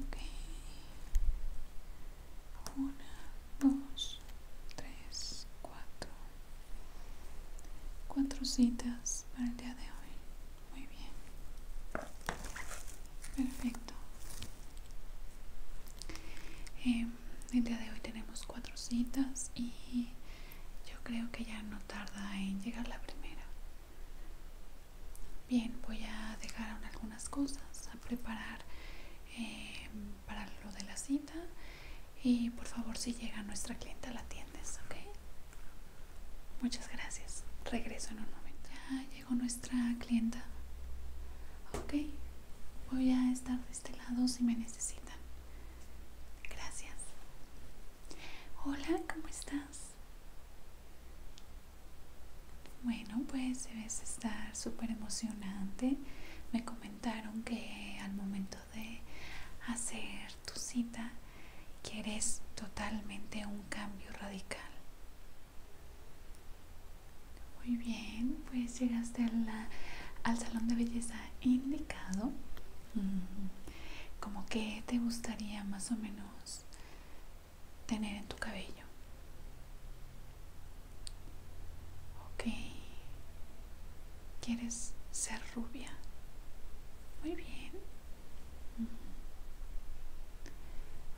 ok una dos tres cuatro cuatro citas para el día de hoy muy bien perfecto em, el día de hoy tenemos cuatro citas y yo creo que ya no tarda en llegar la primera Bien, voy a dejar algunas cosas a preparar em, para lo de la cita. Y por favor, si llega nuestra clienta, la atiendes, ¿ok? Muchas gracias. Regreso en un momento. Ya llegó nuestra clienta. Ok, voy a estar de este lado si me necesitan. Gracias. Hola, ¿cómo estás? Bueno, pues debes estar súper emocionante. Me comentaron que al momento de hacer tu cita quieres totalmente un cambio radical. Muy bien, pues llegaste al salón de belleza indicado. Como que te gustaría más o menos tener en tu cabello. Ok. ¿Quieres ser rubia? Muy bien. Mm.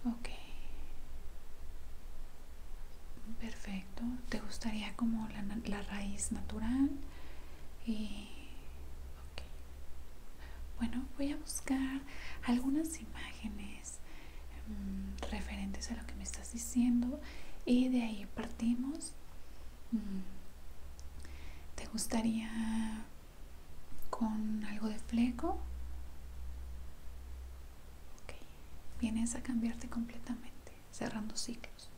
Ok. Perfecto. ¿Te gustaría como la, raíz natural? Y... Bueno, voy a buscar algunas imágenes mm, referentes a lo que me estás diciendo y de ahí partimos. Mm, ¿Te gustaría con algo de fleco? Ok, vienes a cambiarte completamente, cerrando ciclos.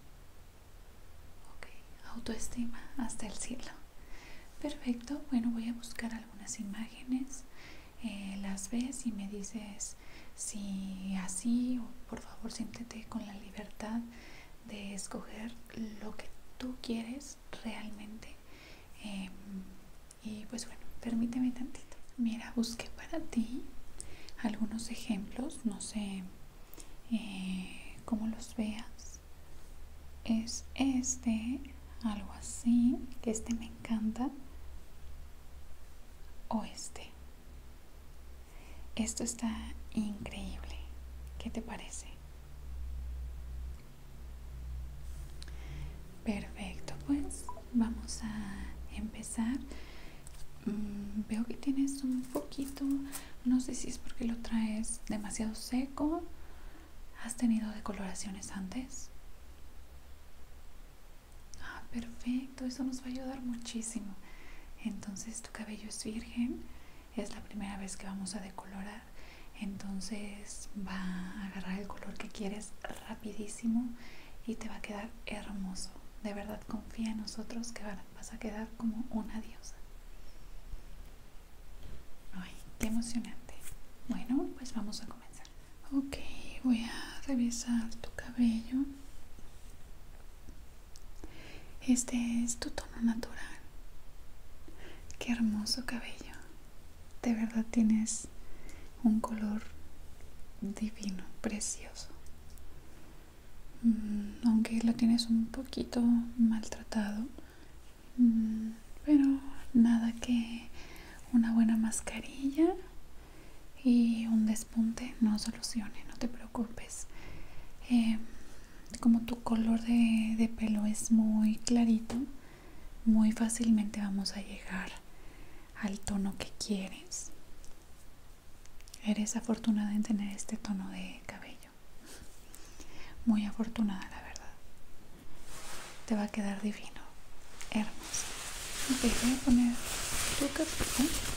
Ok, autoestima hasta el cielo. Perfecto, bueno, voy a buscar algunas imágenes, eh, las ves y me dices si así o por favor siéntete con la libertad de escoger lo que tú quieres realmente. Em, y pues bueno, permíteme tantito. Mira, busqué para ti algunos ejemplos, no sé eh, cómo los veas es este, algo así, que este me encanta, o este. Esto está increíble. ¿Qué te parece? Perfecto, pues vamos a empezar. Mm, veo que tienes un poquito no sé si es porque lo traes demasiado seco. ¿Has tenido decoloraciones antes? Ah, perfecto, eso nos va a ayudar muchísimo. Entonces tu cabello es virgen, es la primera vez que vamos a decolorar. Entonces va a agarrar el color que quieres rapidísimo y te va a quedar hermoso. De verdad confía en nosotros que vas a quedar como una diosa. Ay, qué emocionante. Bueno, pues vamos a comenzar. Ok, voy a revisar tu cabello. Este es tu tono natural. Qué hermoso cabello. De verdad tienes un color divino, precioso. Mm, aunque lo tienes un poquito maltratado, pero mm, nada que una buena mascarilla y un despunte no solucione, no te preocupes. Em, como tu color de, pelo es muy clarito, muy fácilmente vamos a llegar al tono que quieres. Eres afortunada en tener este tono de cabello. Muy afortunada, la verdad. Te va a quedar divino. Hermoso. Ok, voy a poner tu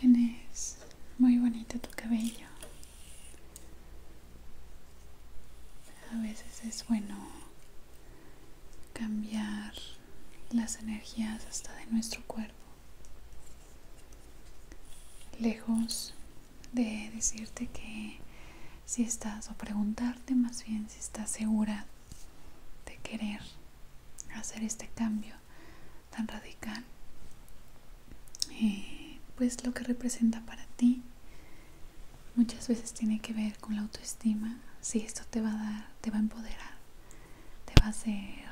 Tienes muy bonito tu cabello. A veces es bueno cambiar las energías hasta de nuestro cuerpo. Lejos de decirte que si estás o preguntarte más bien si estás segura de querer hacer este cambio tan radical eh, pues lo que representa para ti muchas veces tiene que ver con la autoestima si esto te va a dar te va a empoderar te va a hacer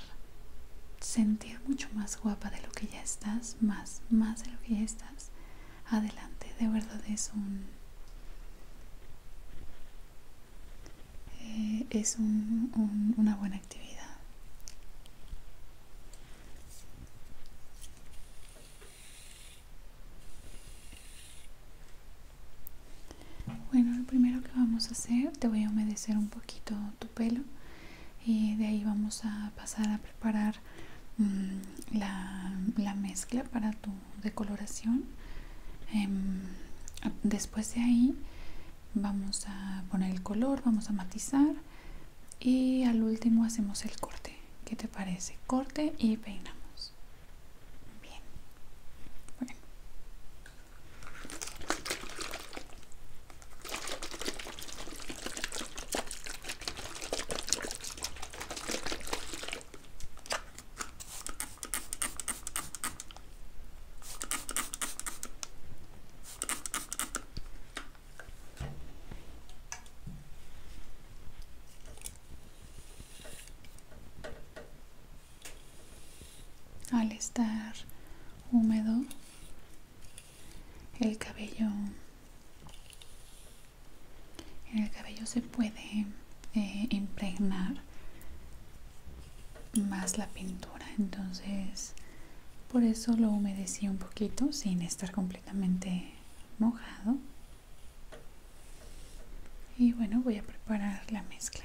sentir mucho más guapa de lo que ya estás más más de lo que ya estás adelante de verdad es un es un, una buena actividad. Bueno, lo primero que vamos a hacer, te voy a humedecer un poquito tu pelo y de ahí vamos a pasar a preparar mm, la, mezcla para tu decoloración. Em, después de ahí vamos a poner el color vamos a matizar y al último hacemos el corte ¿qué te parece? corte y peinamos bien al estar húmedo, el cabello, en el cabello se puede eh, impregnar más la pintura entonces por eso lo humedecí un poquito sin estar completamente mojado y bueno voy a preparar la mezcla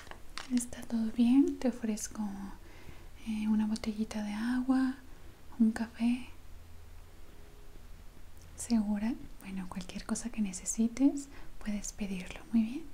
está todo bien te ofrezco eh, una botellita de agua un café segura bueno cualquier cosa que necesites puedes pedirlo muy bien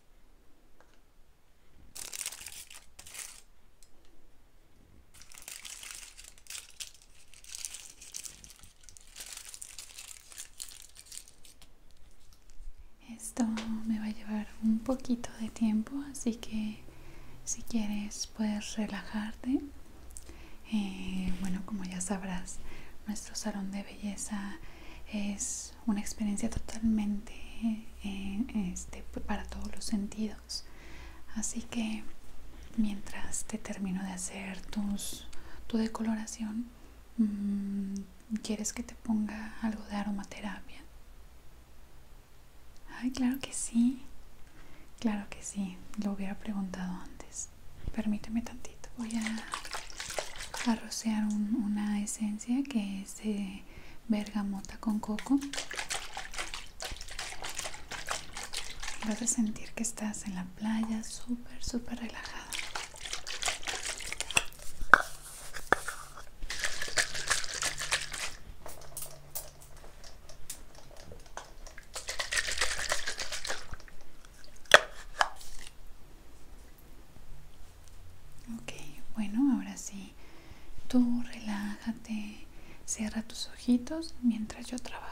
Esto me va a llevar un poquito de tiempo, así que si quieres puedes relajarte. Eh, bueno, como ya sabrás, nuestro salón de belleza es una experiencia totalmente eh, este, para todos los sentidos. Así que mientras te termino de hacer tus, tu decoloración, mm, ¿quieres que te ponga algo de aromaterapia? Ay, claro que sí. Claro que sí. Lo hubiera preguntado antes. Permíteme tantito. Voy a, rociar una esencia que es bergamota con coco vas a sentir que estás en la playa súper súper relajada Ok, bueno, ahora sí. Tú relájate, cierra tus ojitos mientras yo trabajo.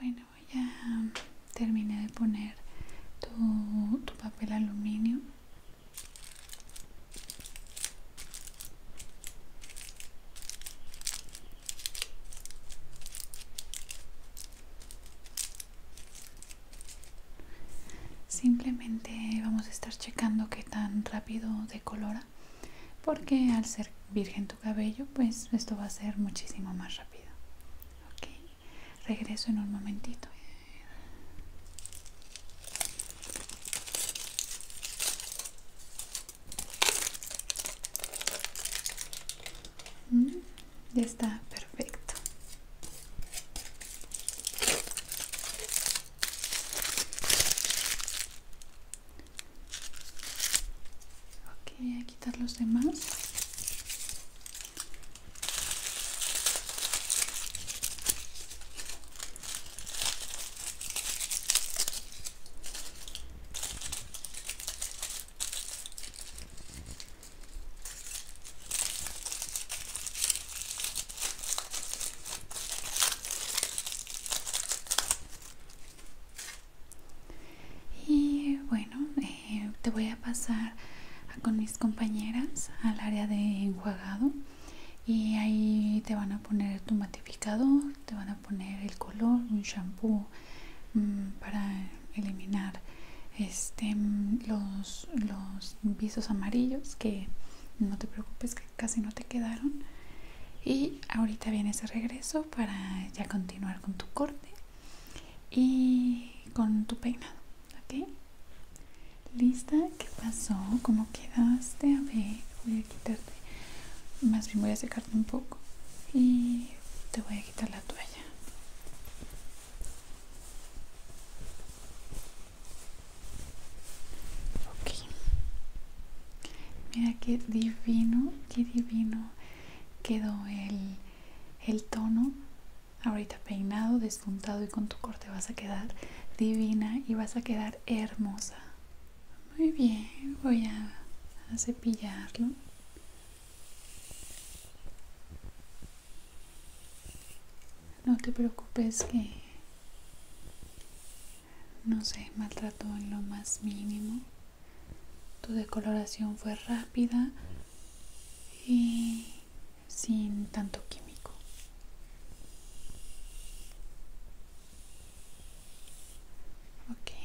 Bueno, ya terminé de poner tu, tu papel aluminio Simplemente vamos a estar checando qué tan rápido decolora, porque al ser virgen tu cabello, pues esto va a ser muchísimo más rápido. Ok, regreso en un momentito. Mm, ya está perfecto. Ok, a quitar los demás. Y bueno, eh, te voy a pasar con mis compañeras al área de enjuagado y ahí te van a poner tu matificador, te van a poner el color, un shampoo mm, para eliminar este, mm, los, los visos amarillos que no te preocupes que casi no te quedaron y ahorita viene ese regreso para ya continuar con tu corte y con tu peinado ok lista qué pasó cómo quedaste a ver voy a quitarte más bien voy a secarte un poco y te voy a quitar la toalla ok mira qué divino qué divino quedó el, el tono Ahorita peinado, despuntado y con tu corte vas a quedar divina y vas a quedar hermosa. Muy bien, voy a, cepillarlo. No te preocupes que no se maltrató en lo más mínimo. Tu decoloración fue rápida y sin tanto químico. Okay.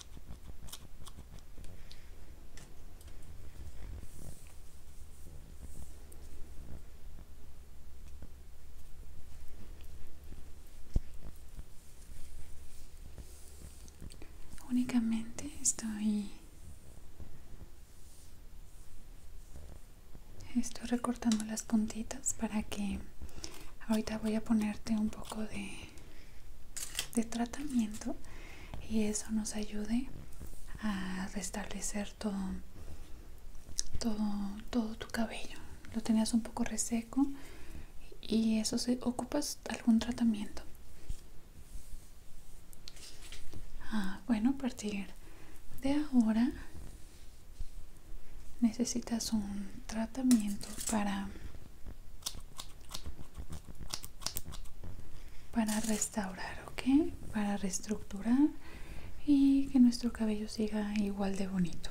Únicamente estoy estoy recortando las puntitas para que ahorita voy a ponerte un poco de de tratamiento y eso nos ayude a restablecer todo, todo, tu cabello. Lo tenías un poco reseco y eso se ocupas algún tratamiento. Ah, bueno, a partir de ahora necesitas un tratamiento para para restaurar ok para reestructurar y que nuestro cabello siga igual de bonito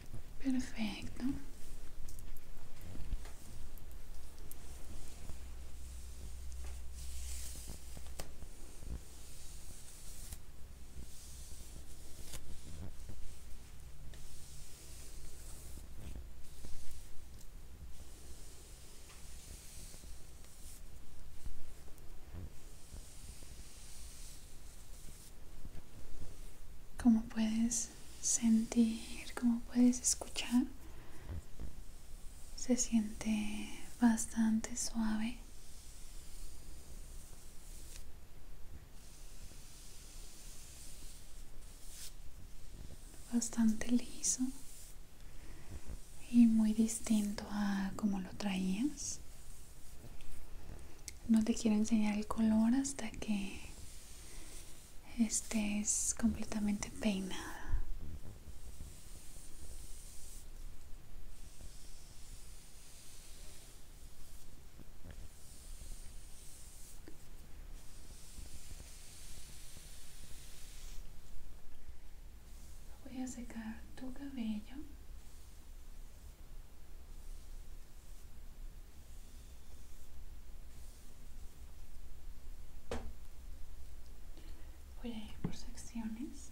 Perfecto. Como puedes sentir, como puedes escuchar, se siente bastante suave. bastante liso y muy distinto a como lo traías. No te quiero enseñar el color hasta que este es completamente peinada voy a secar tu cabello Voy a ir por secciones.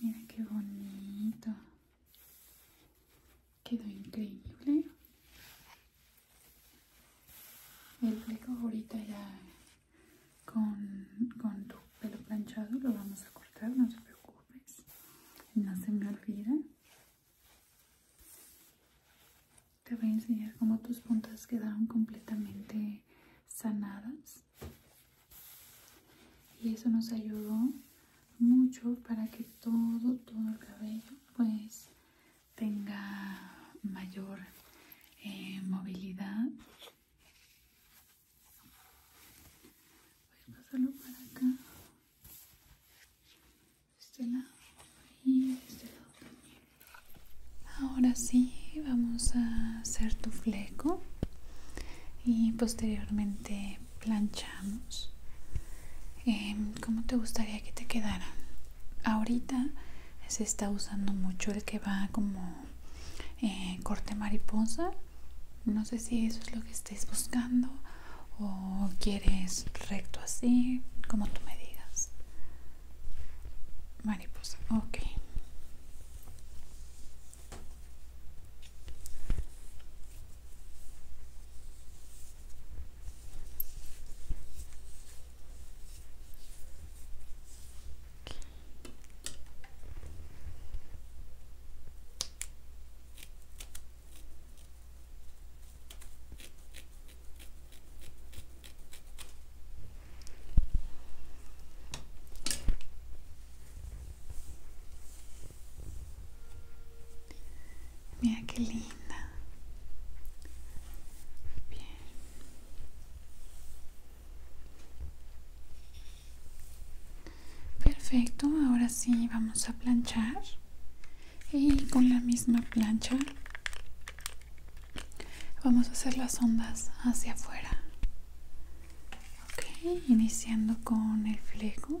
Mira qué bonito. Quedó increíble. El fleco ahorita ya con, con tu pelo planchado lo vamos a cortar, no te preocupes. No se me olvida. Te voy a enseñar cómo tus puntas quedaron completamente sanadas. Y eso nos ayudó mucho para que todo, todo el cabello pues tenga mayor eh, movilidad. Voy a pasarlo para acá. y este Ahora sí, vamos a hacer tu fleco y posteriormente planchamos. Em, ¿Cómo te gustaría que te quedara? Ahorita se está usando mucho el que va como eh, corte mariposa. No sé si eso es lo que estés buscando o quieres recto así, como tú me digas mariposa ok Mira qué linda. Perfecto, ahora sí vamos a planchar y con la misma plancha Vamos a hacer las ondas hacia afuera. okay, iniciando con el fleco.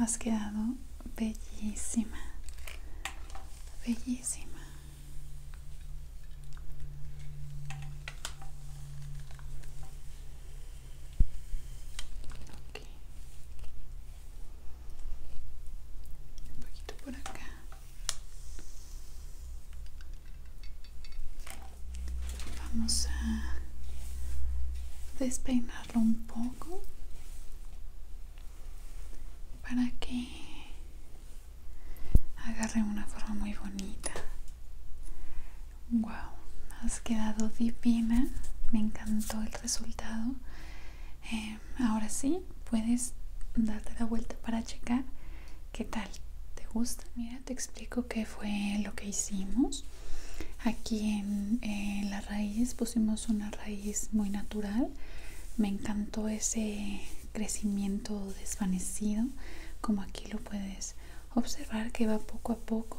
Has quedado bellísima, bellísima. Un poquito por acá. Vamos a despeinarlo un poco para que agarré una forma muy bonita wow has quedado divina me encantó el resultado em, ahora sí puedes darte la vuelta para checar qué tal te gusta mira te explico qué fue lo que hicimos aquí en eh, la raíz pusimos una raíz muy natural me encantó ese crecimiento desvanecido como aquí lo puedes observar que va poco a poco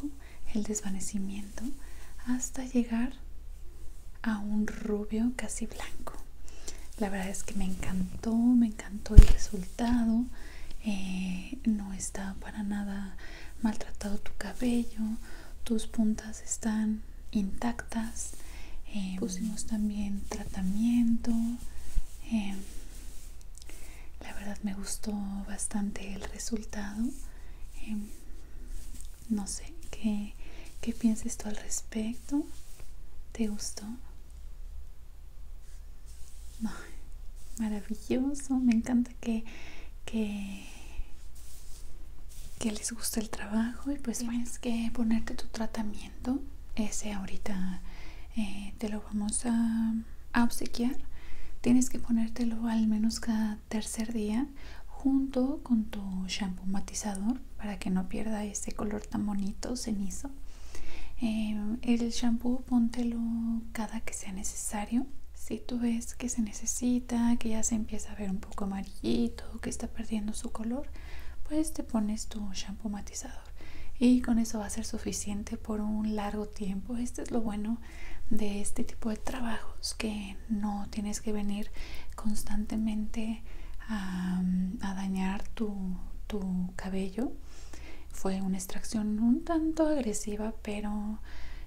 el desvanecimiento hasta llegar a un rubio casi blanco la verdad es que me encantó me encantó el resultado eh, no está para nada maltratado tu cabello tus puntas están intactas eh, pusimos también tratamiento eh, la verdad me gustó bastante el resultado em, no sé ¿qué, piensas tú al respecto te gustó maravilloso me encanta que que les gusta el trabajo y pues tienes que ponerte tu tratamiento ese ahorita eh, te lo vamos a, obsequiar tienes que ponértelo al menos cada tercer día junto con tu shampoo matizador para que no pierda ese color tan bonito cenizo eh, el shampoo póntelo cada que sea necesario si tú ves que se necesita que ya se empieza a ver un poco amarillito que está perdiendo su color pues te pones tu shampoo matizador y con eso va a ser suficiente por un largo tiempo. Este es lo bueno de este tipo de trabajos que no tienes que venir constantemente a, dañar tu, cabello. Fue una extracción un tanto agresiva, pero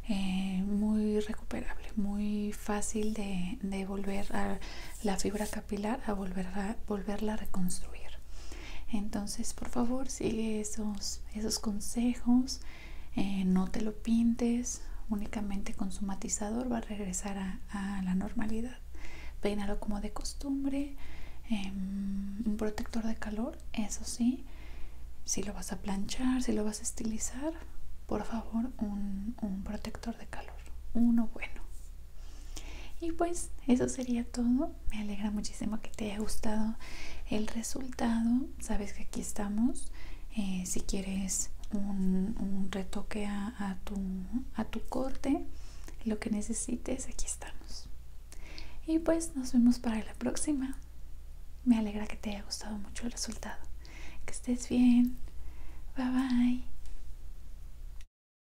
eh, muy recuperable, muy fácil de, de a la fibra pilar a, volverla a reconstruir. Entonces, por favor, sigue esos, consejos, eh, no te lo pintes, únicamente con su matizador va a regresar a, la normalidad. peinalo como de costumbre, em, un protector de calor, eso sí, si lo vas a planchar, si lo vas a estilizar, por favor, un protector de calor, uno bueno. Y pues eso sería todo. Me alegra muchísimo que te haya gustado el resultado. Sabes que aquí estamos. Eh, si quieres un, retoque a, tu, a tu corte, lo que necesites, aquí estamos. Y pues nos vemos para la próxima. Me alegra que te haya gustado mucho el resultado. Que estés bien. Bye bye.